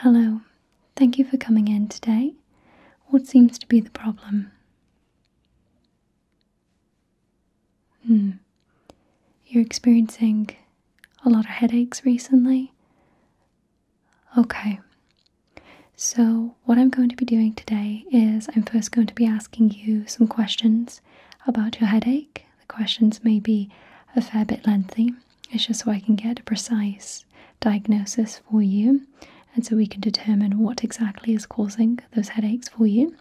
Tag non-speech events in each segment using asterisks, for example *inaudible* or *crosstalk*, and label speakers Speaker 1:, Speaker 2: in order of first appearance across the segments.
Speaker 1: Hello, thank you for coming in today. What seems to be the problem? Hmm, you're experiencing a lot of headaches recently? Okay, so what I'm going to be doing today is I'm first going to be asking you some questions about your headache. The questions may be a fair bit lengthy, it's just so I can get a precise diagnosis for you and so we can determine what exactly is causing those headaches for you.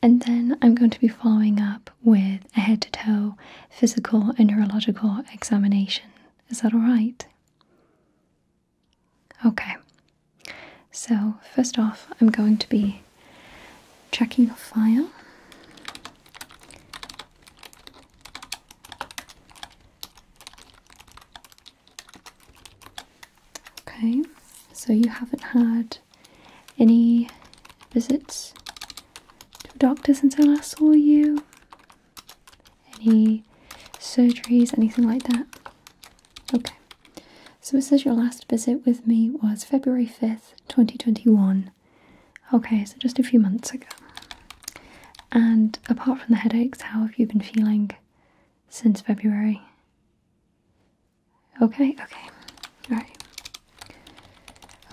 Speaker 1: And then I'm going to be following up with a head to toe physical and neurological examination. Is that all right? Okay. So, first off, I'm going to be checking your file. Okay, so you haven't had any visits to a doctor since I last saw you? Any surgeries, anything like that? Okay, so it says your last visit with me was February 5th, 2021. Okay, so just a few months ago. And apart from the headaches, how have you been feeling since February? Okay, okay, alright.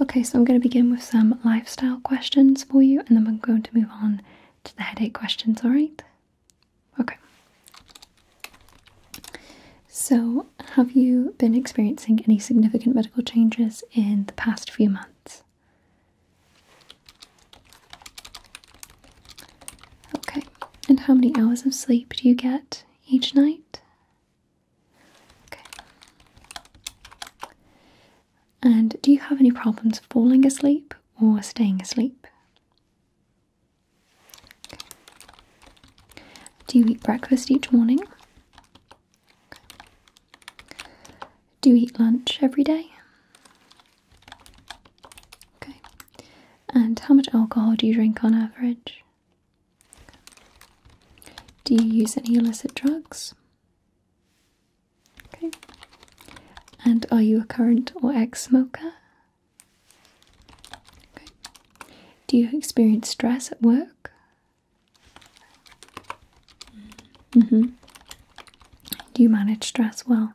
Speaker 1: Okay, so I'm going to begin with some lifestyle questions for you and then I'm going to move on to the headache questions, alright? Okay. So, have you been experiencing any significant medical changes in the past few months? Okay, and how many hours of sleep do you get each night? Okay. And do you have any problems falling asleep or staying asleep? Do you eat breakfast each morning? Do you eat lunch every day? Okay. And how much alcohol do you drink on average? Do you use any illicit drugs? Okay. And are you a current or ex smoker? Okay. Do you experience stress at work? Mm-hmm. Do you manage stress well?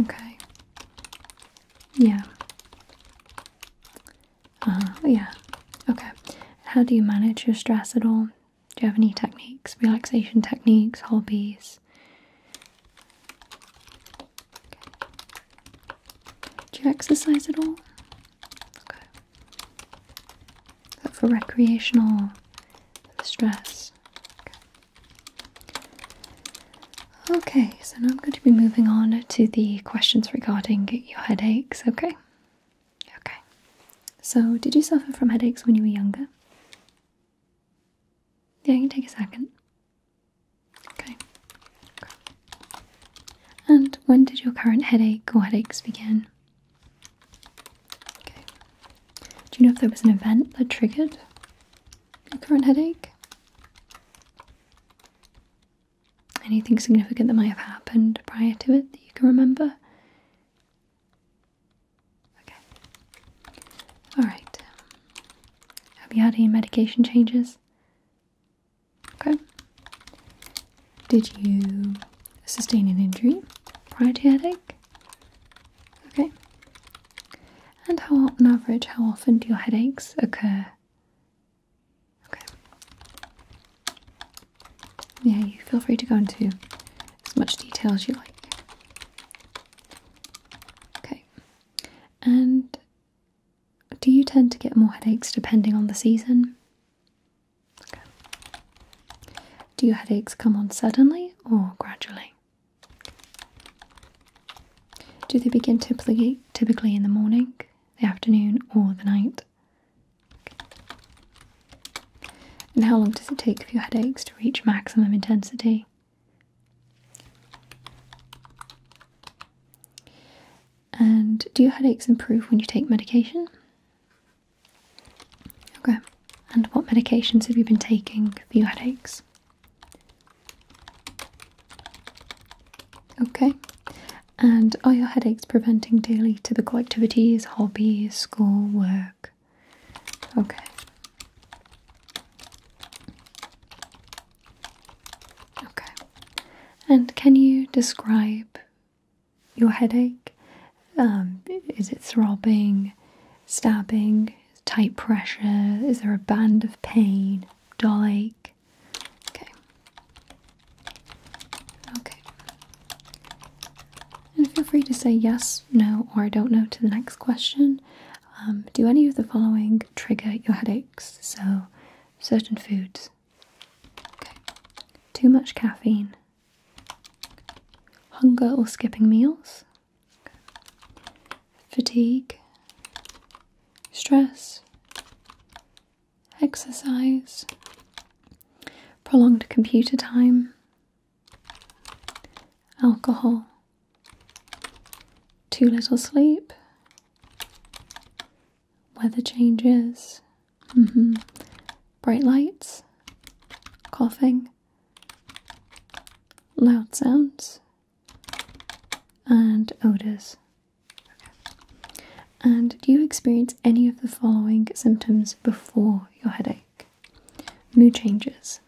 Speaker 1: Okay. Yeah. Uh, yeah. Okay. How do you manage your stress at all? Do you have any techniques, relaxation techniques, hobbies? Do you exercise at all? Okay. for recreational for stress? Okay. okay, so now I'm going to be moving on to the questions regarding your headaches, okay? Okay. So, did you suffer from headaches when you were younger? Yeah, you can take a second. Okay. And when did your current headache or headaches begin? Okay. Do you know if there was an event that triggered your current headache? Anything significant that might have happened prior to it that you can remember? Okay. Alright. Have you had any medication changes? Okay. Did you sustain an injury prior to headache? Okay. And how, on average, how often do your headaches occur? Okay. Yeah, you feel free to go into as much detail as you like. Okay. And do you tend to get more headaches depending on the season? Do your headaches come on suddenly or gradually? Do they begin typically typically in the morning, the afternoon, or the night? And how long does it take for your headaches to reach maximum intensity? And do your headaches improve when you take medication? Okay. And what medications have you been taking for your headaches? Okay. And are your headaches preventing daily typical activities, hobbies, school, work? Okay. Okay. And can you describe your headache? Um, is it throbbing, stabbing, tight pressure? Is there a band of pain, dull ache? Okay. Okay. And feel free to say yes, no, or I don't know to the next question. Um, do any of the following trigger your headaches? So, certain foods. Too much caffeine. Hunger or skipping meals. Fatigue. Stress. Exercise. Prolonged computer time. Alcohol. Too little sleep weather changes, mm-hmm. bright lights, coughing, loud sounds, and odours. And do you experience any of the following symptoms before your headache? Mood changes,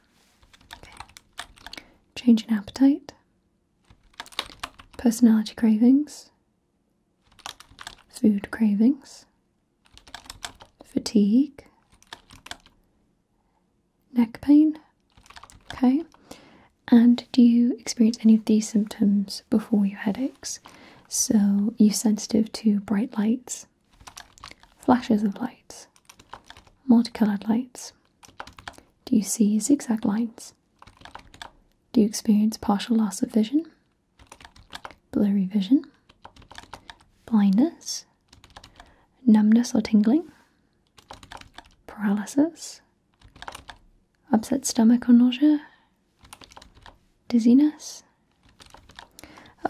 Speaker 1: change in appetite, personality cravings, food cravings, fatigue, neck pain. Okay, and do you experience any of these symptoms before your headaches? So, you are sensitive to bright lights, flashes of lights, multicolored lights? Do you see zigzag lines? Do you experience partial loss of vision, blurry vision, blindness, numbness or tingling, paralysis, upset stomach or nausea, dizziness?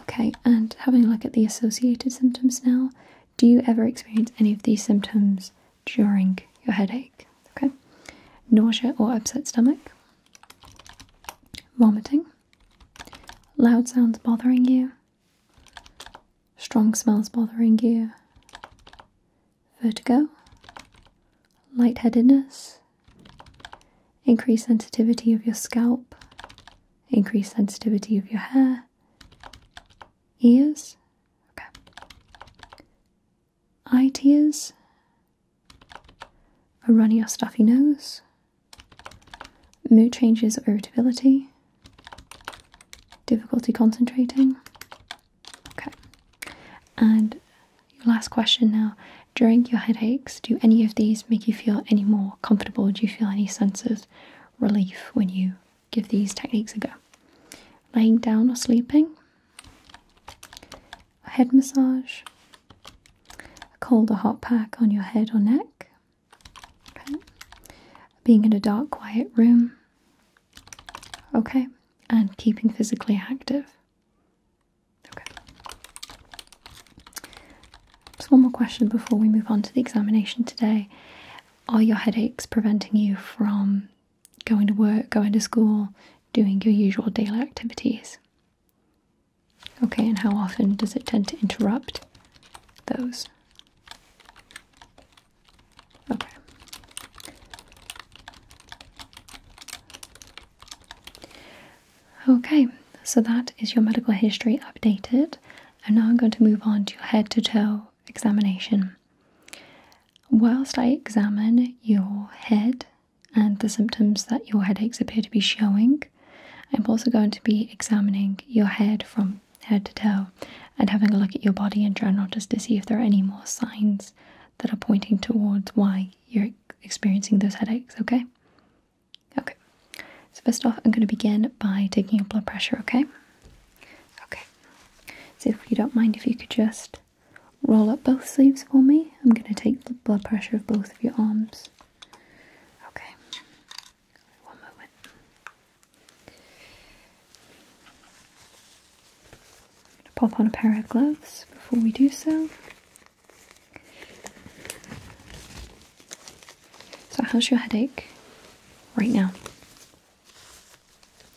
Speaker 1: Okay, and having a look at the associated symptoms now, do you ever experience any of these symptoms during your headache. Okay, nausea or upset stomach, vomiting, loud sounds bothering you, strong smells bothering you, vertigo, lightheadedness, increased sensitivity of your scalp, increased sensitivity of your hair, ears. Okay. Eye tears, a runny or stuffy nose, mood changes or irritability, difficulty concentrating. Okay, and your last question now. During your headaches, do any of these make you feel any more comfortable? Do you feel any sense of relief when you give these techniques a go? Laying down or sleeping, a head massage, a cold or hot pack on your head or neck, okay. being in a dark, quiet room, okay, and keeping physically active. Okay. Just one more question before we move on to the examination today. Are your headaches preventing you from going to work, going to school, doing your usual daily activities. Okay, and how often does it tend to interrupt those? Okay. Okay, so that is your medical history updated. And now I'm going to move on to your head to toe examination. Whilst I examine your head and the symptoms that your headaches appear to be showing, I'm also going to be examining your head from head to toe and having a look at your body in general just to see if there are any more signs that are pointing towards why you're experiencing those headaches, okay? Okay, so first off, I'm going to begin by taking your blood pressure, okay? Okay, so if you don't mind, if you could just roll up both sleeves for me. I'm going to take the blood pressure of both of your arms. Okay. One moment. pop on a pair of gloves before we do so. So, how's your headache right now?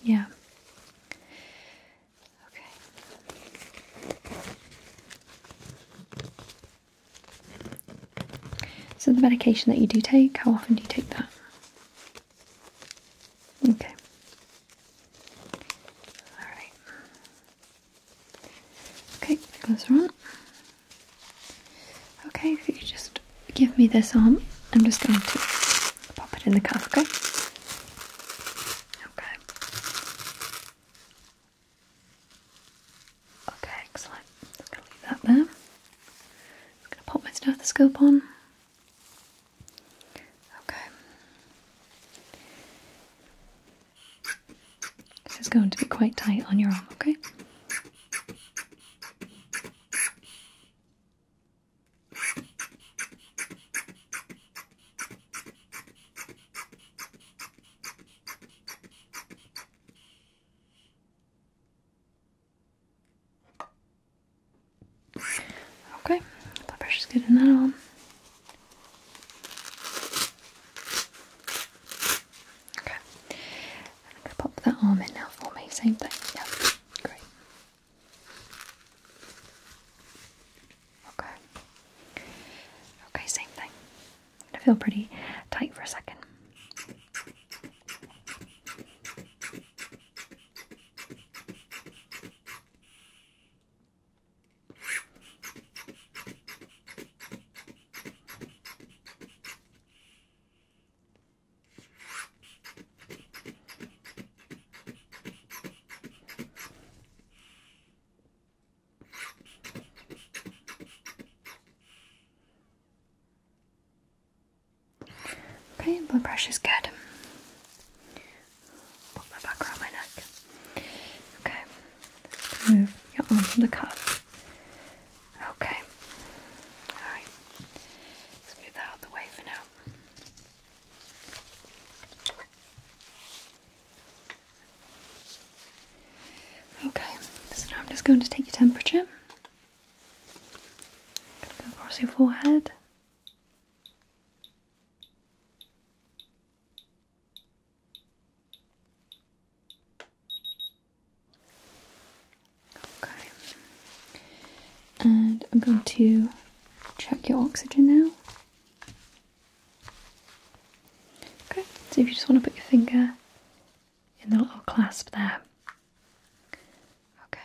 Speaker 1: Yeah. Okay. So the medication that you do take, how often do you take that? Okay. All right. Okay, gloves on. Okay, if you just give me this arm, I'm just going to Pop it in the cuff, okay? Okay. Okay, excellent. I'm gonna leave that there. I'm gonna pop my stethoscope on. Okay. This is going to be quite tight on your arm, okay? Okay, blood good in that all. Okay, pop that arm in now for me. Same thing. Yeah, great. Okay. Okay, same thing. i gonna feel pretty tight for a second. Okay, blood pressure's good. Put my back around my neck. Okay, move your arm from the cuff. Okay, alright, let's move that out the way for now. Okay, so now I'm just going to take your temperature. across your forehead. Okay. And I'm going to check your oxygen now. Okay, so if you just want to put your finger in the little clasp there. Okay,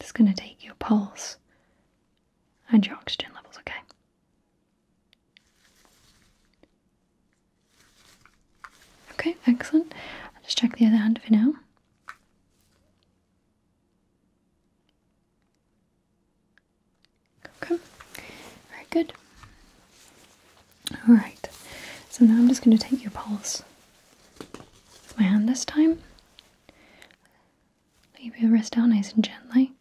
Speaker 1: just going to take your pulse and your oxygen levels, okay? Okay, excellent. I'll just check the other hand for now. Okay, very good. All right, so now I'm just going to take your pulse with my hand this time. Leave your wrist down nice and gently.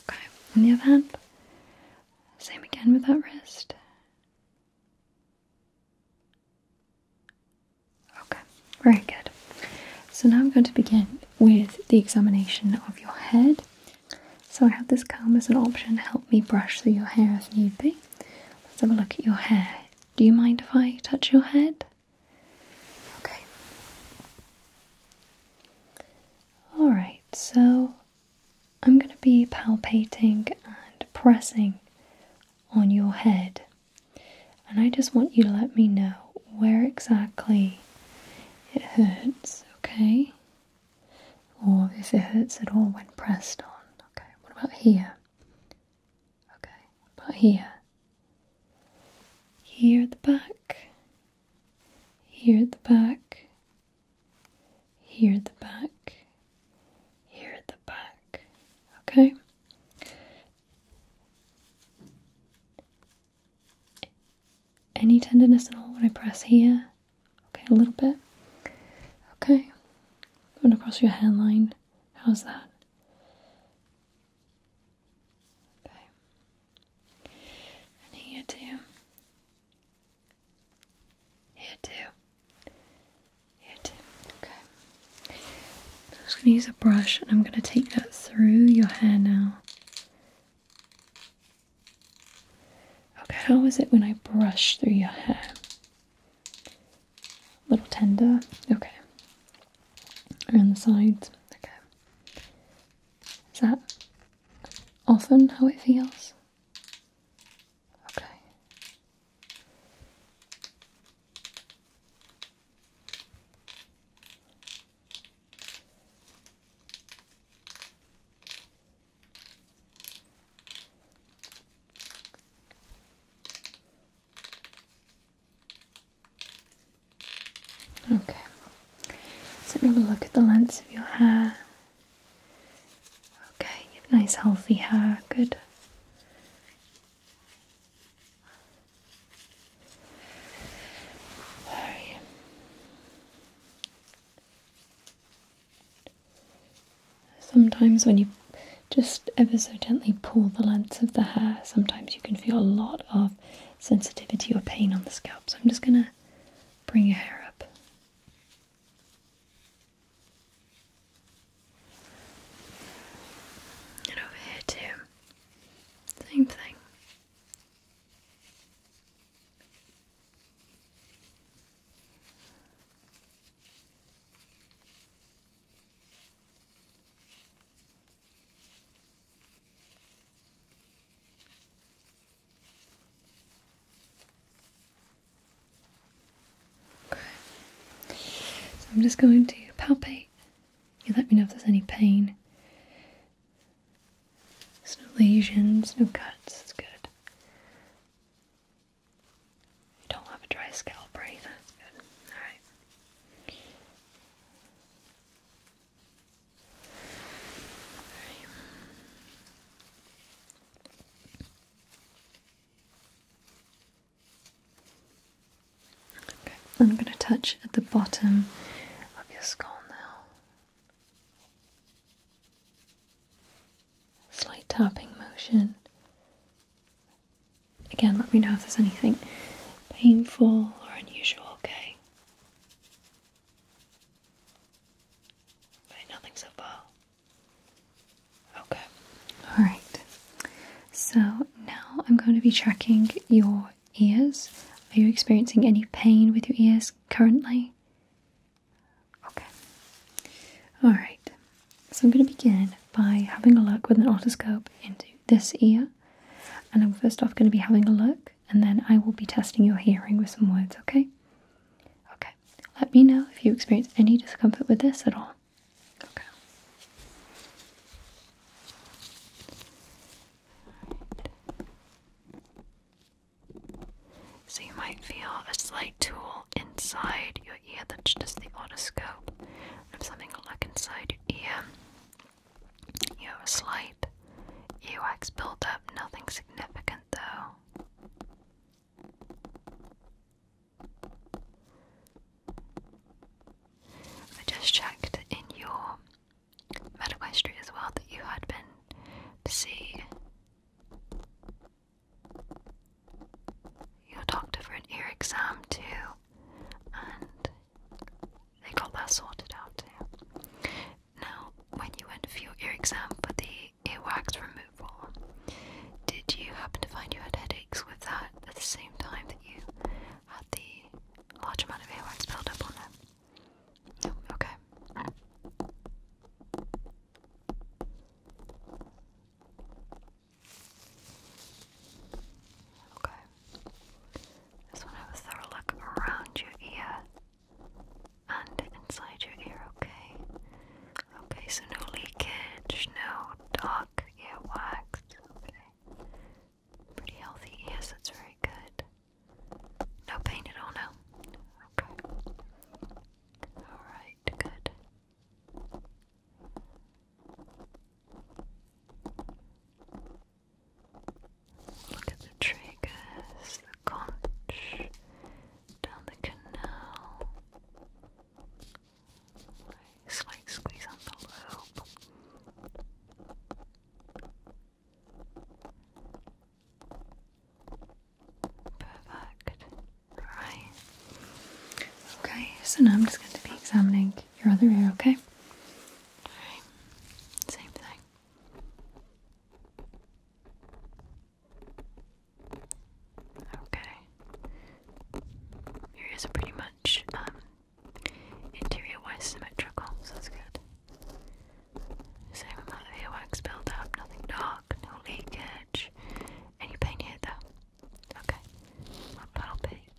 Speaker 1: Okay, and the other hand. Same again with that wrist. Okay, very good. So now I'm going to begin with the examination of your head. So I have this comb as an option to help me brush through your hair if need be. Let's have a look at your hair. Do you mind if I touch your head? Okay. Alright, so I'm going to be palpating and pressing on your head, and I just want you to let me know where exactly it hurts, okay? Or if it hurts at all when pressed on, okay? What about here? Okay, about here? Here at the back, here at the back, here at the back, here at the back. Okay? Any tenderness at all when I press here? Okay, a little bit. Okay. Going across your handline. How's that? Okay. And here too. Here too. Here too. Okay. I'm just going to use a brush and I'm going to take that through your hair now. Okay, how is it when I brush through your hair? A little tender? Okay. Around the sides? Okay. Is that often how it feels? Okay. Okay. So let me look at the length of your hair Okay, nice healthy hair, good. Sometimes when you just ever so gently pull the lengths of the hair, sometimes you can feel a lot of sensitivity or pain on the scalp. So I'm just gonna bring your hair up. And over here, too. Same thing. So I'm just going to palpate. You let me know if there's any pain. no lesions, no cuts, it's good. You don't have a dry scalp or that's good. All right. I'm going to touch at the bottom of your skull now. Slight tapping motion. Again, let me know if there's anything painful or unusual, okay? nothing so far. Okay, all right. So now I'm going to be checking your ears. Are you experiencing any pain with your ears currently? Okay, all right. So I'm going to begin by having a look with an otoscope into this ear. And I'm first off going to be having a look, and then I will be testing your hearing with some words, okay? Okay. Let me know if you experience any discomfort with this at all. So you might feel a slight tool inside your ear that's just the otoscope. If something like inside your ear, you have a slight earwax buildup, nothing significant though. I just checked in your medical history as well that you had been see your doctor for an ear exam too, and they got that sorted out too. Now, when you went for your ear exam the earwax removal. Did you happen to find you had headaches with that at the same time that you had the large amount of earwax build up on there? No, okay. Okay. Just want to have a thorough look around your ear and inside your ear, okay? Okay, so no leakage, no dark earwax. Okay. Pretty healthy ears, that's very good. No pain at all now. Okay. Alright, good. Look at the triggers, the conch, down the canal. Slight squeeze on the loop. Perfect. Right. Okay, so now I'm just going to be examining your other ear, okay? Alright, same thing. Okay. Areas are pretty much um, interior-wise symmetrical, so that's good. Same amount of earwax build nothing dark, no leakage. Any pain here though? Okay. I'll palpate.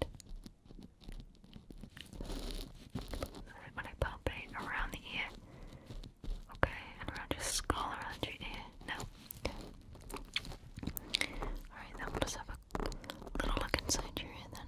Speaker 1: When I palpate around the ear. Okay, around your skull, around your ear. No, Alright, then we'll just have a little look inside your ear then.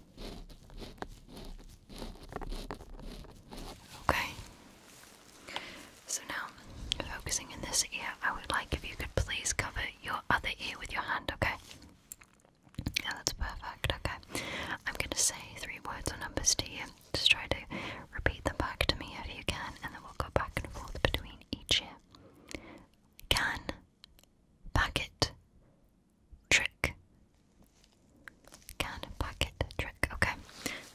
Speaker 1: Okay. So now, focusing in this ear, I would like if you could please cover your other ear with your hand, okay? Yeah, that's perfect, okay. I'm gonna say three words or numbers to you. Just try to repeat them back to me if you can, and then we'll go back and forth between each ear. Can, packet, trick. Can pocket trick. Okay.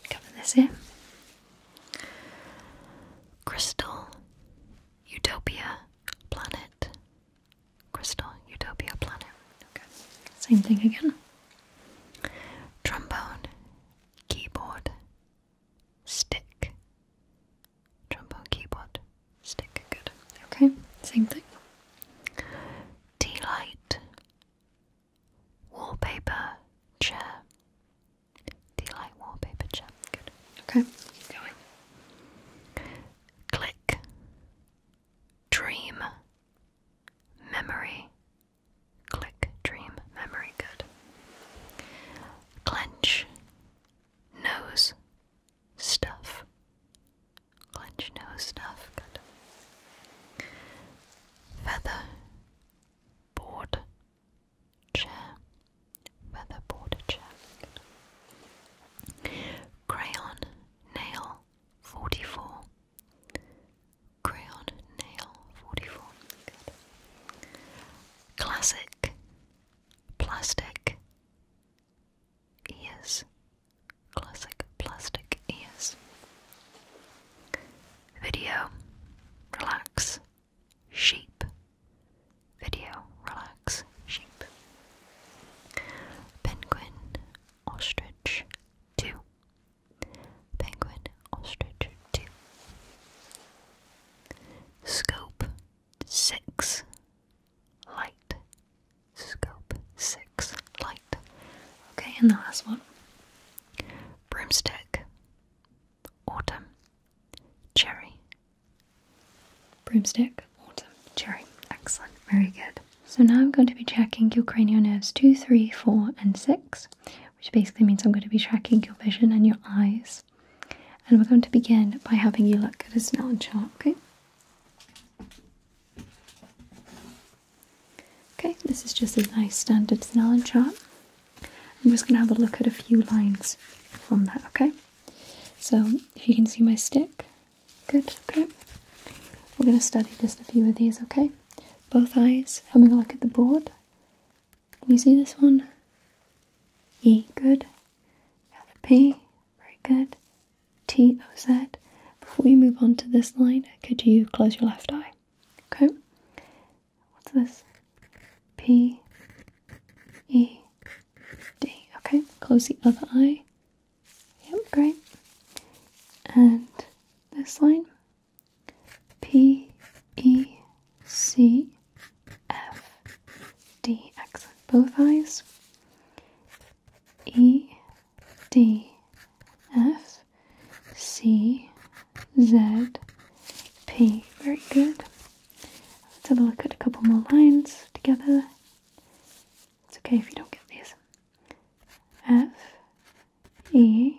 Speaker 1: Cover this here. Crystal Utopia Planet. Crystal Utopia Planet. Okay. Same thing again. Trombone. Keyboard. Stick trombone keyboard stick. Good. Okay, same thing. Tea wallpaper, chair. Tea wallpaper, chair. Good. Okay, keep going. Click, dream, memory. Click, dream, memory. Good. Clench, nose, stuff. Clench nose stuff. Feather. Board. Chair. Feather board chair. Crayon. Nail. 44. Crayon. Nail. 44. Classic. Plastic ears, classic plastic ears. Video, relax, sheep. Video, relax, sheep. Penguin, ostrich, two. Penguin, ostrich, two. Scope, six light. Scope 6 light. Okay, and the last one broomstick, autumn, cherry. Broomstick, autumn, cherry. Excellent, very good. So now I'm going to be checking your cranial nerves 2, 3, 4, and 6, which basically means I'm going to be tracking your vision and your eyes. And we're going to begin by having you look at a Snellen chart, okay? Okay, this is just a nice standard Snellen chart. I'm just going to have a look at a few lines from that, okay? So, if you can see my stick, good, okay? We're going to study just a few of these, okay? Both eyes, having a look at the board. you see this one? E, good. P, very good. T O Z. Before we move on to this line, could you close your left eye? Okay. What's this? P E D. Okay, close the other eye. Yep, great. And this line P E C F D X. Both eyes. E, D, F, C, Z, P. Very good. Let's have a look at a couple more lines together. It's okay if you don't get these. F, E,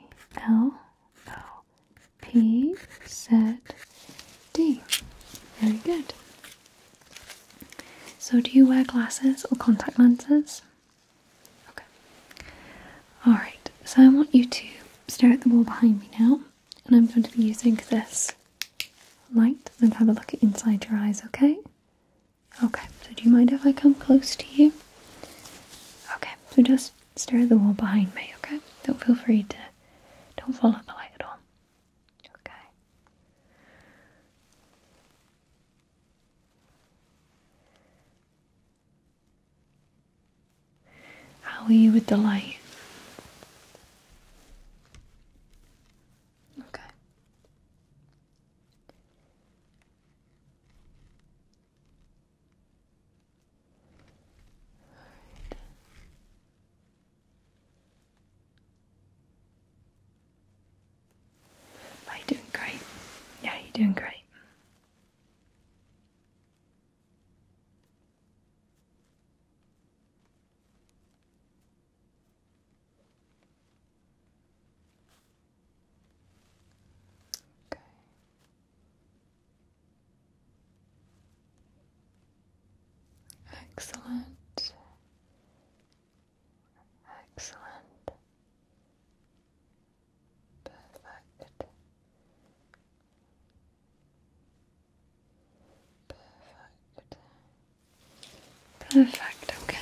Speaker 1: L, O, P, Z, D. Very good. So, do you wear glasses or contact lenses? Okay. Alright, so I want you to stare at the wall behind me now, and I'm going to be using this light and have a look at inside your eyes, okay? Okay, so do you mind if I come close to you? Okay, so just stare at the wall behind me, okay? Don't feel free to, don't follow the light at all. How are you with the light? Okay you Are doing great? Yeah, you're doing great. Okay. Excellent. Excellent. Perfect. Perfect. Perfect, okay.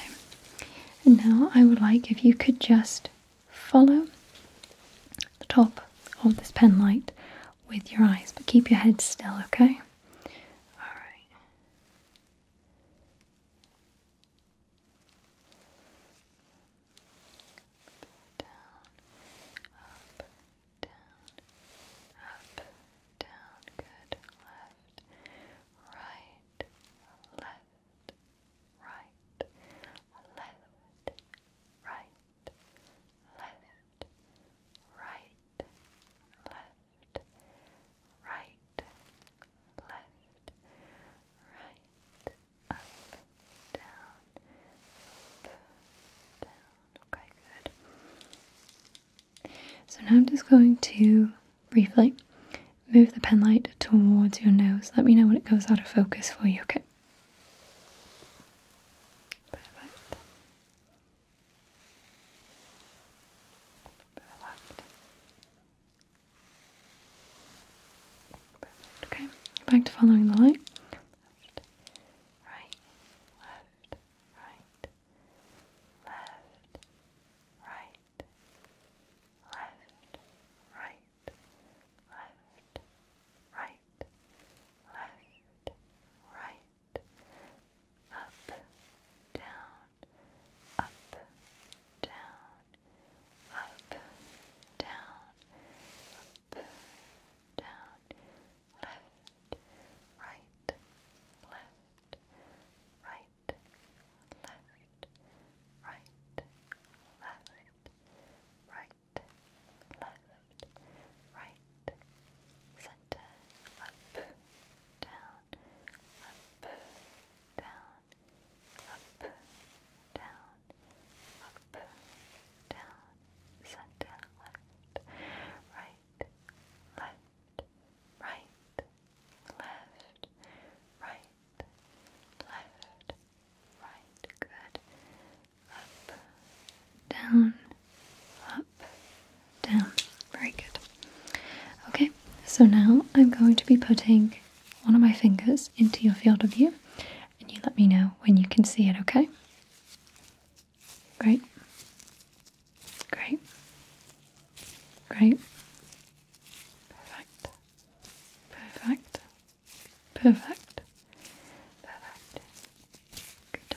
Speaker 1: And now I would like if you could just follow the top of this pen light with your eyes, but keep your head still, okay? Alright down, up, down, up, down, good, left, right, left, right, left, right, left, right, left right, left, right, up, down, up, down. Okay, good. So now I'm just going to briefly move the pen light towards your nose. Let me know when it goes out of focus for you, okay? Okay, back to following the light. Left, right, left, right, left, right, left, right, left, right, left, right up, down, up, down, up, down, up, down, left, right, left, right, left, right, left, right, left, right, center, up, down, up, down, up, down, up, down, center, left, right, left, right, left, right, left, right, good, up, down, up, down. Very good. Okay, so now I'm going to be putting one of my fingers into your field of view, and you let me know when you can see it, okay? Great. Great. Great. Perfect. Perfect. Perfect. Perfect. Good.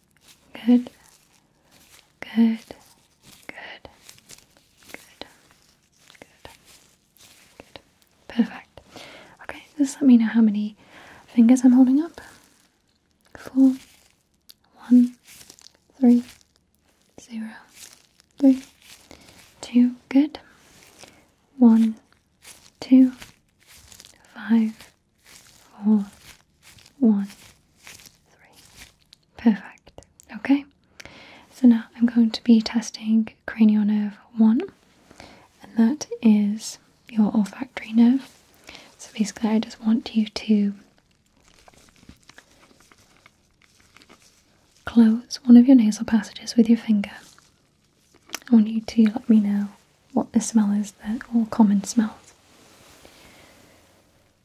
Speaker 1: Good. Good. Good. Good. Good. Good. Perfect. Okay, just let me know how many fingers I'm holding up. Four, one, three, zero, three, two. Good. One, two, five, four, one, three. Perfect. Okay. So now I'm going to be testing cranial nerve one, and that is your olfactory nerve. So basically, I just want you to close one of your nasal passages with your finger. I want you to let me know what the smell is that all common smells.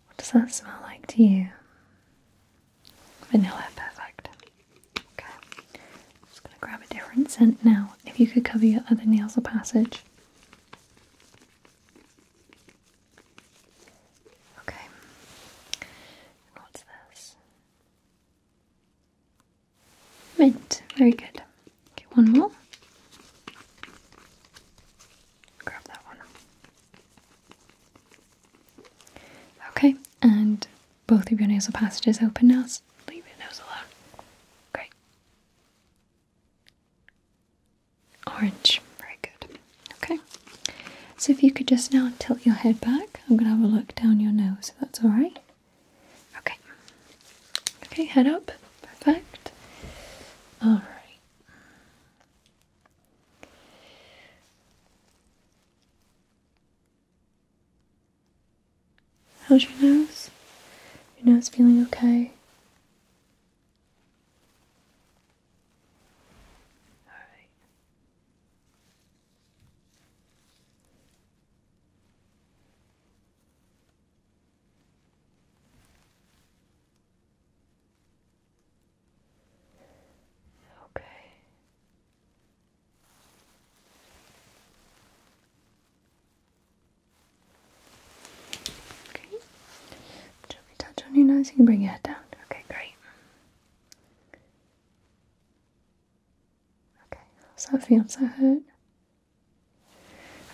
Speaker 1: What does that smell like to you? Vanilla, perfect. Okay, I'm just gonna grab a different scent now. If you could cover your other nails, nasal passage. Okay, what's this? Mint, very good. Okay, one more. Grab that one. Okay, and both of your nasal passages open now. leave your nose alone. Great. Orange. Very good. Okay. So if you could just now tilt your head back, I'm going to have a look down your nose, that's alright. Okay. Okay, head up. Perfect. All right. How's your nose? Your nose feeling okay? Okay. Okay. Gently touch on your nose. You can bring your head down. Okay, great. Okay, how's that feel? Does that hurt?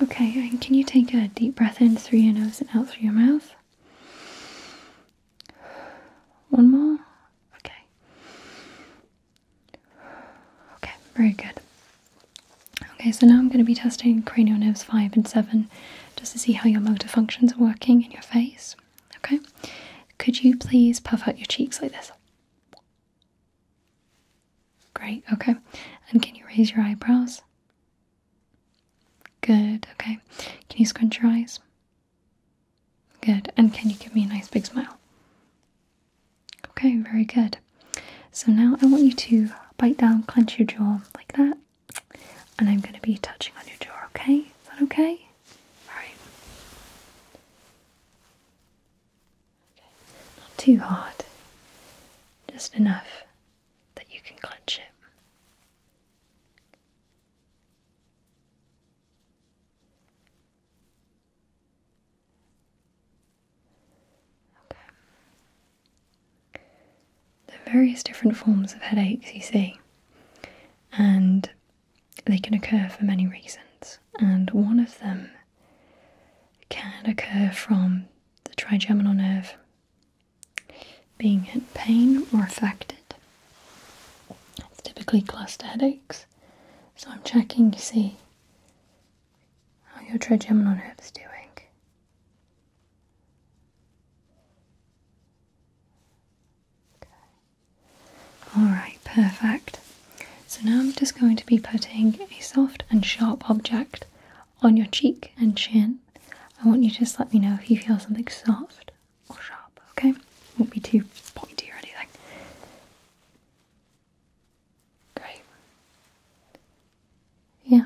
Speaker 1: Okay, can you take a deep breath in through your nose and out through your mouth? One more. Okay. Okay, very good. Okay, so now I'm going to be testing cranial nerves 5 and 7 just to see how your motor functions are working in your face. Okay, could you please puff out your cheeks like this? Great, okay. And can you raise your eyebrows? Good, okay. Can you scrunch your eyes? Good, and can you give me a nice big smile? Okay, very good. So now I want you to bite down, clench your jaw like that, and I'm going to be touching on your jaw, okay? Is that okay? Alright. Okay, not too hard, just enough that you can clench it. Okay. There are various different forms of headaches you see, and they can occur for many reasons, and one of them can occur from the trigeminal nerve being in pain or affected. It's typically cluster headaches, so I'm checking see how your trigeminal nerve is doing. Alright, perfect. So now I'm just going to be putting a soft and sharp object on your cheek and chin. I want you to just let me know if you feel something soft or sharp, okay? Won't be too pointy or anything. Great. Yeah.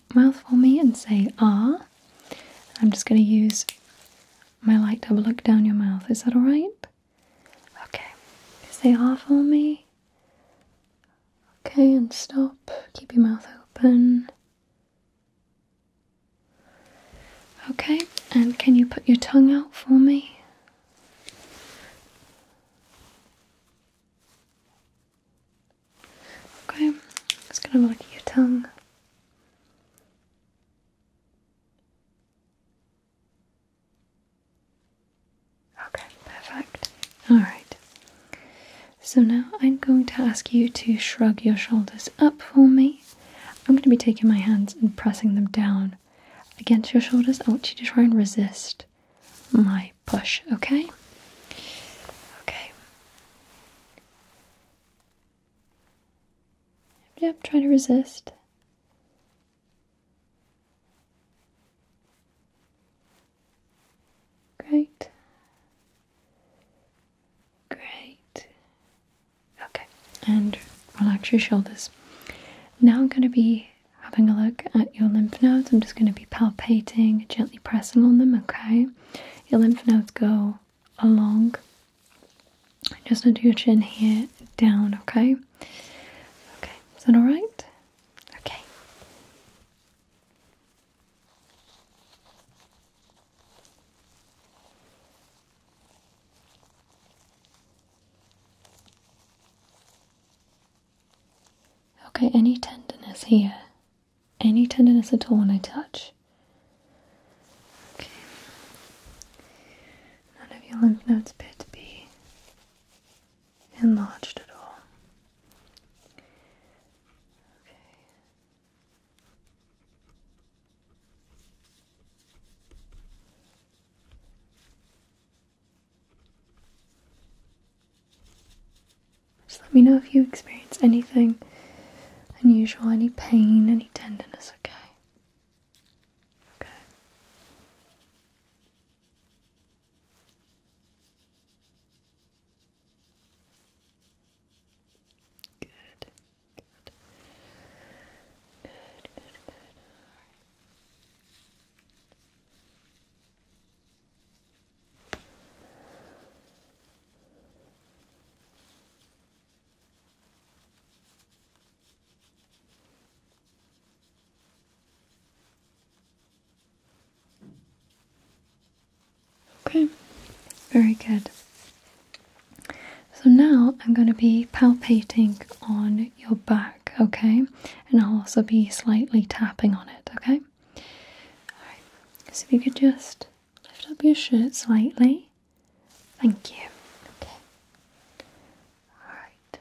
Speaker 1: mouth for me and say ah. I'm just going to use my light double look down your mouth. Is that alright? Okay. Say ah for me. Okay, and stop. Keep your mouth open. Okay, and can you put your tongue out for me? Okay, just gonna look at your tongue. Okay, perfect. Alright. So now I'm going to ask you to shrug your shoulders up for me. I'm going to be taking my hands and pressing them down against your shoulders. I want you to try and resist my push, okay? Okay. Yep, try to resist. Great. Great. Okay, and relax your shoulders. Now I'm going to be having a look at your lymph nodes. I'm just going to be palpating, gently pressing on them, okay? your lymph nodes go along just under your chin here down, okay? Okay, is that alright? Okay. Okay, any tenderness here? any tenderness at all when I touch. None of your lymph nodes appear to be enlarged at all. Just let me know if you experience anything unusual, any pain, any tenderness, okay? Okay. Good. Good. Good, good, Okay, very good. So now I'm going to be palpating on your back, okay? And I'll also be slightly tapping on it, okay? Alright, so if you could just Lift up your shirt slightly. Thank you. Okay. All right.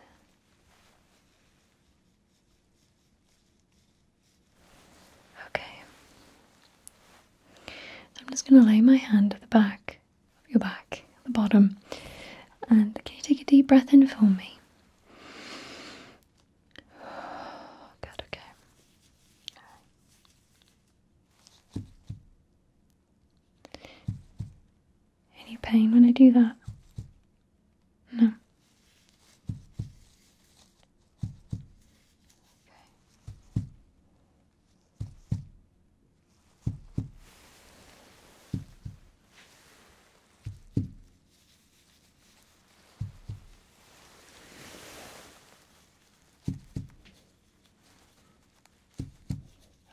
Speaker 1: Okay. I'm just going to lay my hand at the back of your back, the bottom. And can you take a deep breath in for me? *sighs* Good, okay. Any pain when I do that? No.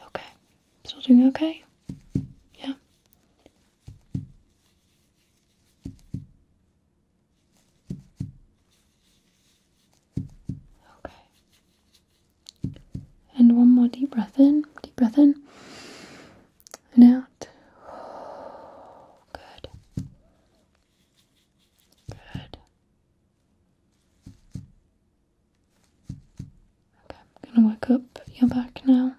Speaker 1: Okay. Still doing okay? Yeah. Okay. And one more deep breath in, deep breath in, and out. *sighs* Good. Good. Okay, I'm gonna work up your back now.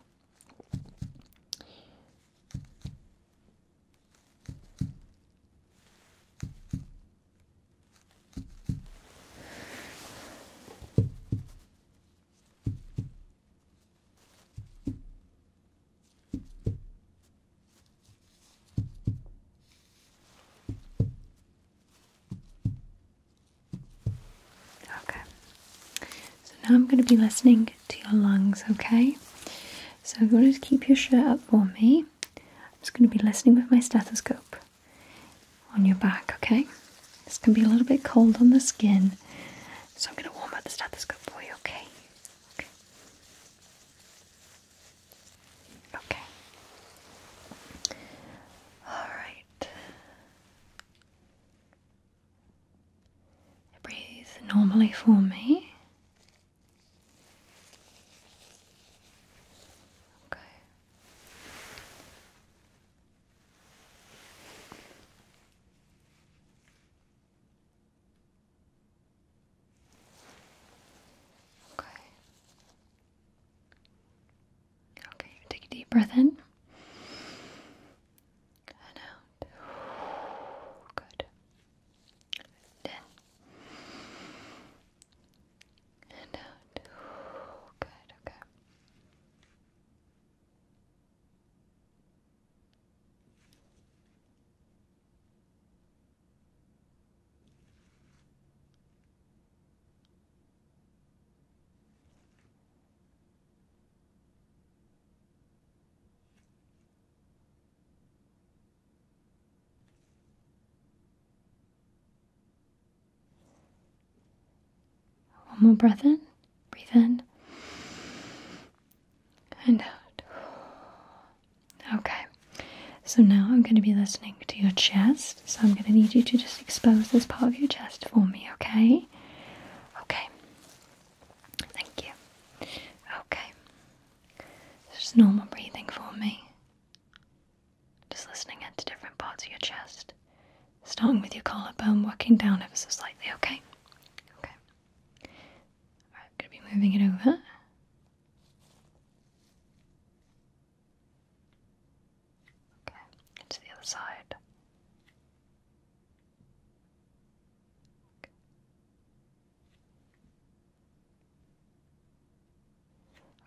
Speaker 1: Okay. So now I'm going to be listening to your lungs, okay? So if you want to keep your shirt up for me, I'm just going to be listening with my stethoscope on your back, okay? It's going to be a little bit cold on the skin, so I'm going to warm up the stethoscope for you, okay? okay. Okay. All right. Breathe normally for me. Okay. Okay. Okay, take a deep breath in. And out. Good. in. And out. Good, okay. One more breath in, breathe in and out. Okay, so now I'm going to be listening to your chest. So I'm going to need you to just expose this part of your chest for me, okay? Okay, thank you. Okay, just normal breathing for me. Just listening into different parts of your chest, starting with your collarbone, working down ever so slightly, okay? Okay. I'm going to be moving it over. Okay, to the other side.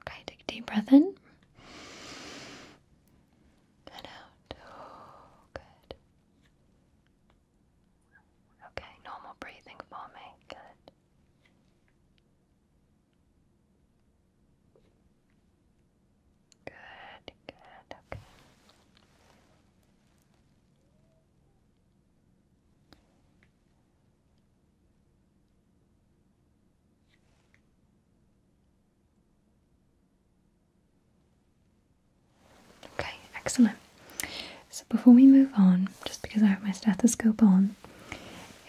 Speaker 1: Okay. take a deep breath in. And out. Oh, good. Okay, normal breathing for me. Good. Good, good, okay. Okay, excellent. So before we move on, just because I have my stethoscope on,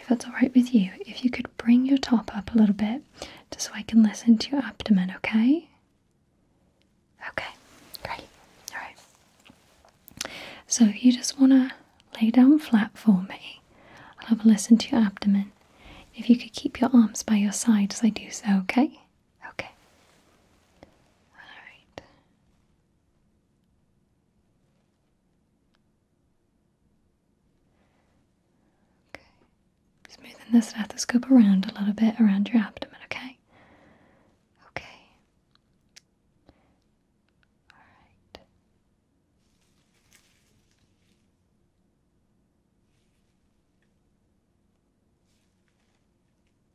Speaker 1: if that's alright with you, if you could bring your top up a little bit just so I can listen to your abdomen, okay? Okay, great. Alright. So you just want to lay down flat for me, I'll have a listen to your abdomen. If you could keep your arms by your sides, I do so, okay? Okay. Alright. Okay. Smoothing the stethoscope around a little bit around your abdomen, okay? Okay. Alright.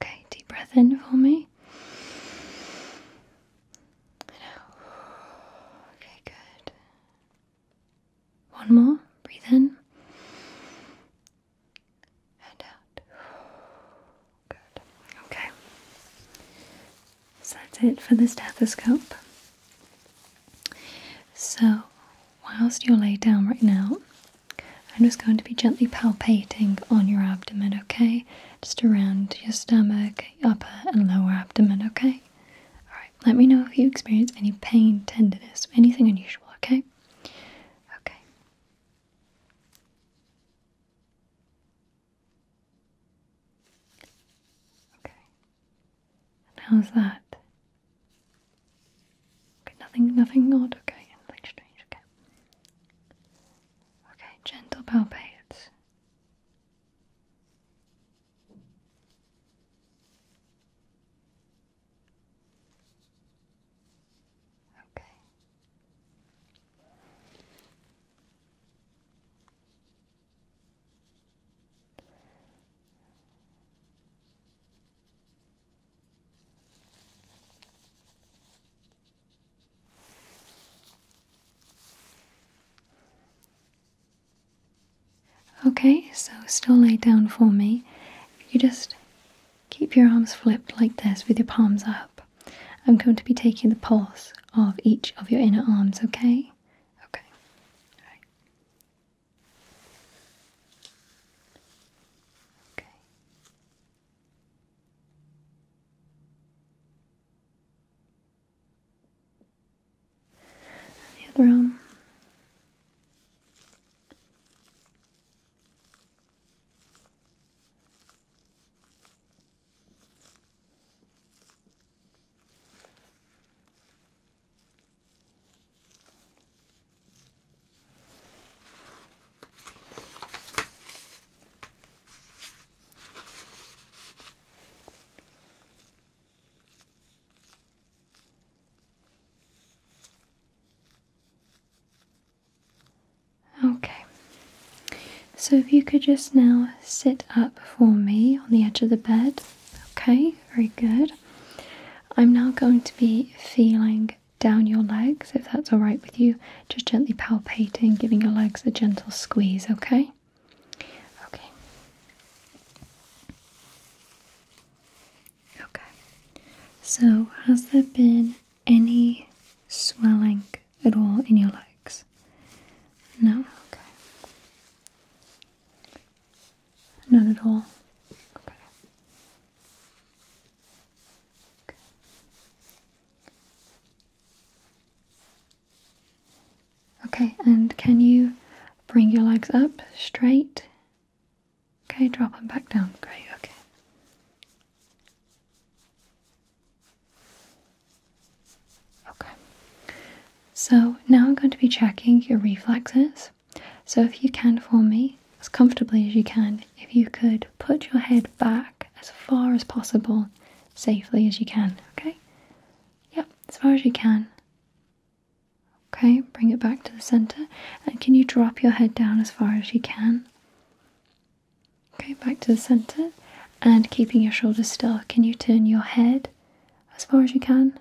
Speaker 1: Okay, deep breath in for me. And out. Okay, good. One more. Breathe in. And out. Good. Okay. So that's it for the stethoscope. So whilst you're laid down right now, I'm just going to be gently palpating on your abdomen, okay? Just around your stomach, upper and lower abdomen, okay? Alright, let me know if you experience any pain, tenderness, anything unusual, okay? Okay. Okay. how's that? Okay, nothing, nothing odd, okay, nothing strange, okay. gentle palpate. Okay. Okay, so still lay down for me. You just keep your arms flipped like this with your palms up. I'm going to be taking the pulse of each of your inner arms, okay? Okay. Okay. And the other arm. Okay, so if you could just now sit up for me on the edge of the bed. Okay, very good. I'm now going to be feeling down your legs, if that's all right with you, just gently palpating, giving your legs a gentle squeeze, okay? Okay. Okay. So, has there been any swelling at all in your legs? No? Okay. Not at all. Okay. okay. and can you bring your legs up straight? Okay, drop them back down. Great, okay. Okay. So now I'm going to be checking your reflexes. So, if you can for me, as comfortably as you can, if you could put your head back as far as possible, safely as you can, okay? Yep, as far as you can. Okay, bring it back to the center. And can you drop your head down as far as you can? Okay, back to the center. And keeping your shoulders still, can you turn your head as far as you can?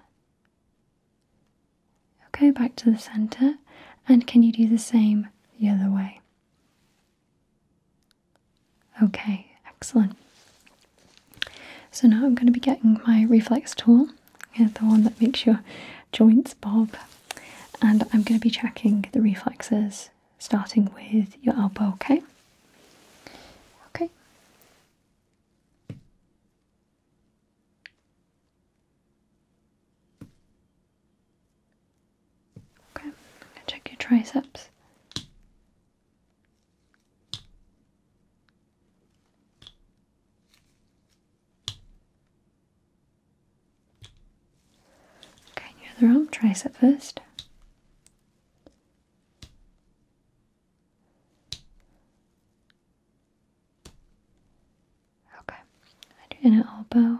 Speaker 1: Okay, back to the center. And can you do the same the other way? Okay, excellent. So now I'm going to be getting my reflex tool, the one that makes your joints bob, and I'm going to be checking the reflexes starting with your elbow, okay? Okay. Okay, check your triceps. Okay, your other arm, tricep first. Okay, I do an elbow.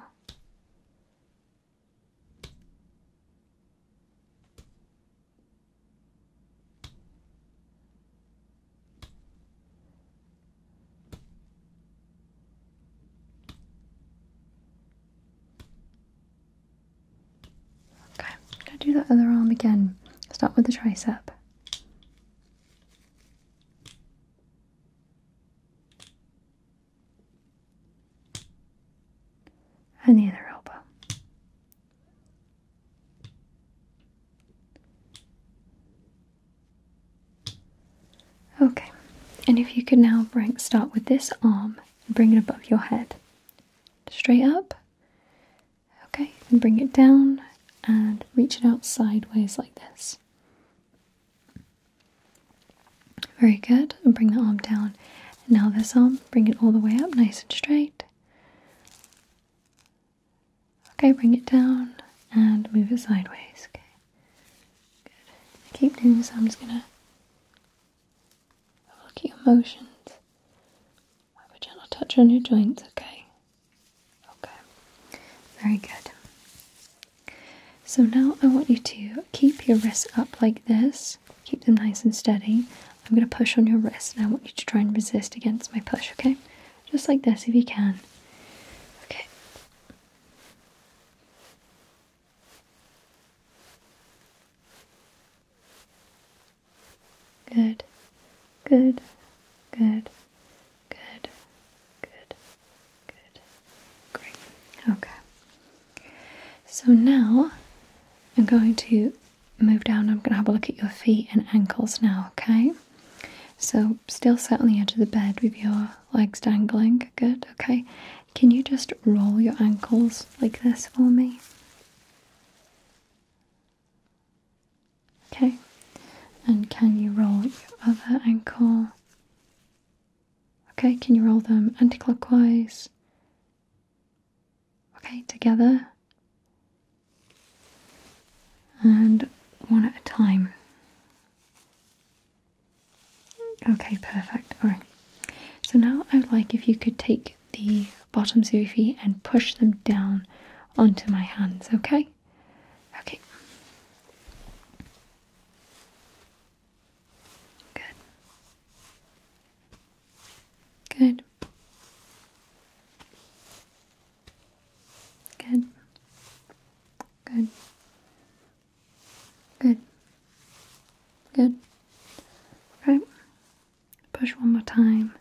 Speaker 1: Okay, am gonna do that other arm again. Start with the tricep and the other elbow. Okay, and if you could now start with this arm and bring it above your head, straight up Okay, and bring it down and reach it out sideways like this. Very good, and bring the arm down. now, this arm, bring it all the way up nice and straight. Okay, bring it down and move it sideways. Okay, good. keep doing this, I'm just gonna look at your motions. I would not touch on your joints, okay? Okay, very good. So now I want you to keep your wrists up like this, keep them nice and steady. I'm going to push on your wrists, and I want you to try and resist against my push, okay? Just like this if you can. Okay. Good. Good. Good. Good. Good. Good. Great. Okay. So now I'm going to move down. I'm going to have a look at your feet and ankles now, okay? So, still sit on the edge of the bed with your legs dangling. Good, okay. Can you just roll your ankles like this for me? Okay, and can you roll your other ankle? Okay, can you roll them anti-clockwise? Okay, together and one at a time. Okay, perfect. All right. So now I'd like if you could take the bottoms of your feet and push them down onto my hands, okay? Okay? Good. Good. Good. Good. Good. Good. Right. Push one more time.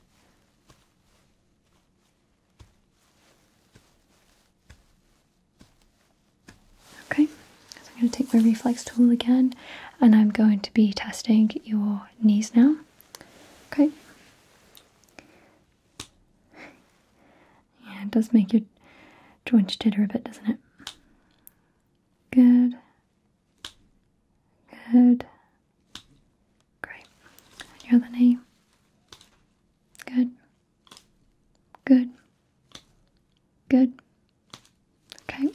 Speaker 1: Okay, I'm going to take my reflex tool again and I'm going to be testing your knees now. Okay. Yeah, it does make your joints jitter a bit, doesn't it? Good. Good. Great. And the name. Good. Good. Good. Okay.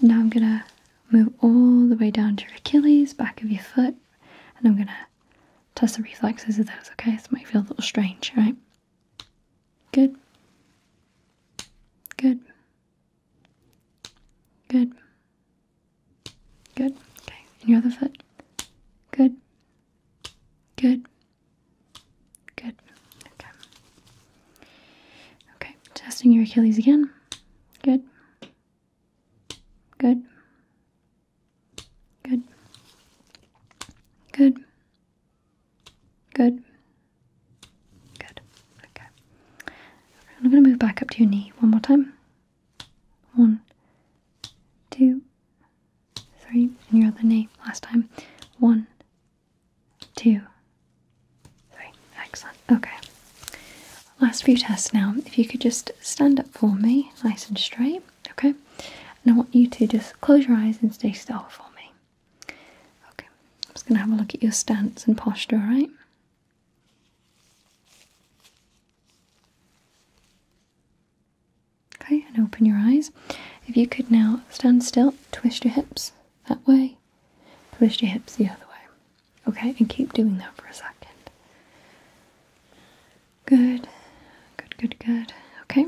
Speaker 1: now I'm going to move all the way down to your Achilles, back of your foot, and I'm going to test the reflexes of those, okay? This might feel a little strange, right? Good. Good. Good. Good. Okay. And your other foot. Good. Good. Good. Okay. Okay. Testing your Achilles again. Good. Good. Good. Good. Good. Good. Okay. I'm going to move back up to your knee one more time. One, two, three, and you your the name last time. One, two, three. Excellent. Okay. Last few tests now. If you could just stand up for me, nice and straight. Okay. And I want you to just close your eyes and stay still for me. Okay. I'm just going to have a look at your stance and posture, alright? Okay, and open your eyes. If you could now stand still, twist your hips that way, twist your hips the other way. Okay, and keep doing that for a second. Good, good, good, good. Okay,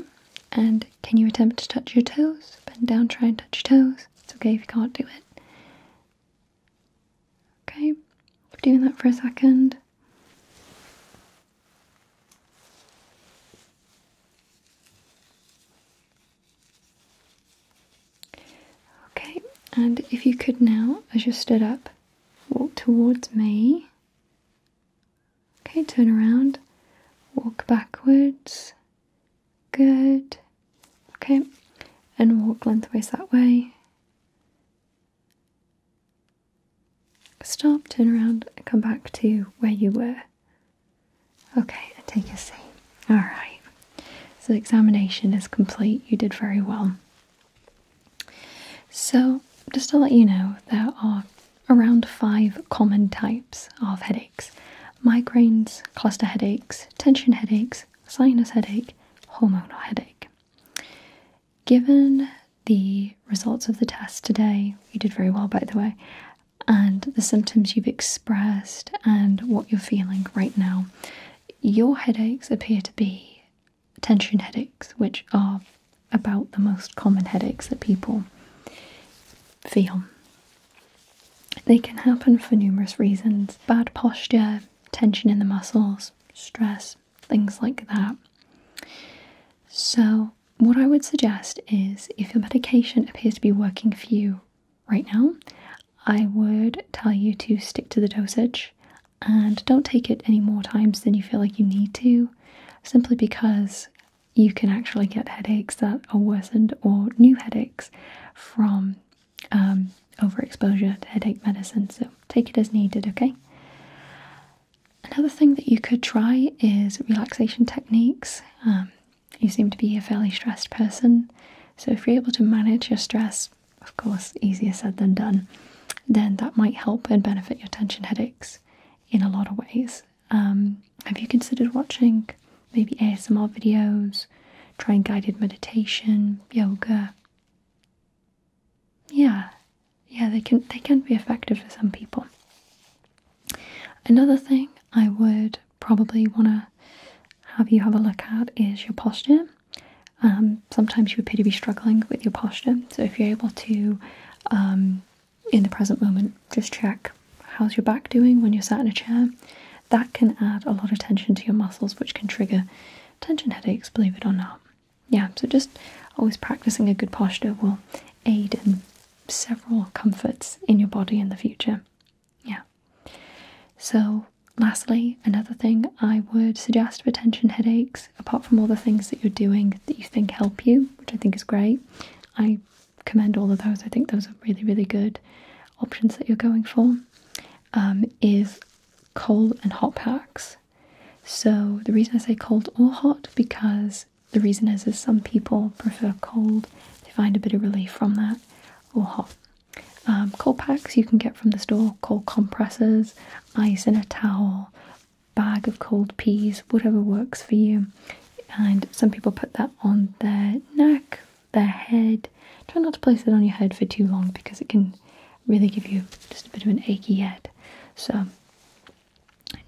Speaker 1: and can you attempt to touch your toes? Bend down, try and touch your toes. It's okay if you can't do it. Okay, we're doing that for a second. Okay, and if you could now, as you stood up, walk towards me. Okay, turn around, walk backwards. Good. Okay, and walk lengthways that way. Stop, turn around, come back to where you were. Okay, take a seat. Alright, so the examination is complete. You did very well. So, just to let you know, there are around five common types of headaches migraines, cluster headaches, tension headaches, sinus headache, hormonal headache. Given the results of the test today, you did very well by the way, and the symptoms you've expressed and what you're feeling right now, your headaches appear to be tension headaches, which are about the most common headaches that people feel. They can happen for numerous reasons bad posture, tension in the muscles, stress, things like that. So, what I would suggest is if your medication appears to be working for you right now, I would tell you to stick to the dosage and don't take it any more times than you feel like you need to, simply because you can actually get headaches that are worsened or new headaches from um, overexposure to headache medicine, so take it as needed, okay? Another thing that you could try is relaxation techniques. Um, you seem to be a fairly stressed person, so if you're able to manage your stress, of course, easier said than done, then that might help and benefit your tension headaches in a lot of ways. Um, have you considered watching maybe ASMR videos, trying guided meditation, yoga? yeah, yeah, they can they can be effective for some people. Another thing I would probably want to have you have a look at is your posture. Um, sometimes you appear to be struggling with your posture, so if you're able to, um, in the present moment, just check how's your back doing when you're sat in a chair. That can add a lot of tension to your muscles, which can trigger tension headaches, believe it or not yeah, so just always practicing a good posture will aid in several comforts in your body in the future. Yeah. So, lastly, another thing I would suggest for tension headaches, apart from all the things that you're doing that you think help you, which I think is great, I commend all of those. I think those are really, really good options that you're going for. Um, is cold and hot packs. So the reason I say cold or hot because the reason is is some people prefer cold. They find a bit of relief from that or hot. Um, cold packs you can get from the store, cold compressors, ice in a towel, bag of cold peas, whatever works for you. And some people put that on their neck, their head. Try not to place it on your head for too long because it can really give you just a bit of an achy head. So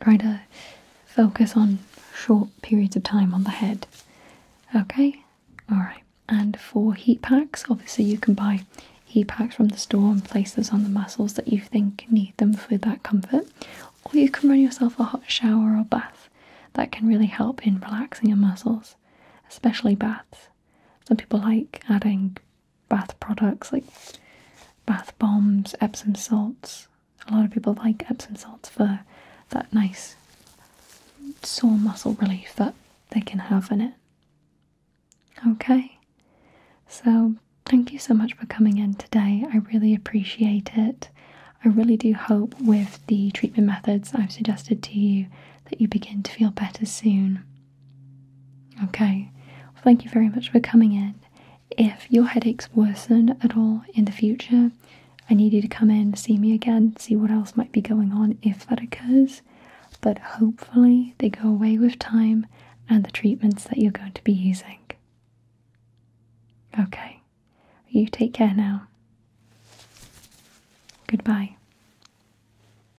Speaker 1: try to focus on short periods of time on the head. Okay? Alright. And for heat packs, obviously you can buy heat packs from the store and place those on the muscles that you think need them for that comfort. Or you can run yourself a hot shower or bath. That can really help in relaxing your muscles, especially baths. Some people like adding bath products like bath bombs, Epsom salts. A lot of people like Epsom salts for that nice sore muscle relief that they can have in it. Okay, so thank you so much for coming in today. I really appreciate it. I really do hope with the treatment methods I've suggested to you that you begin to feel better soon. Okay, thank you very much for coming in. If your headaches worsen at all in the future, I need you to come in, see me again, see what else might be going on if that occurs. But hopefully, they go away with time and the treatments that you're going to be using. Okay, you take care now. Goodbye.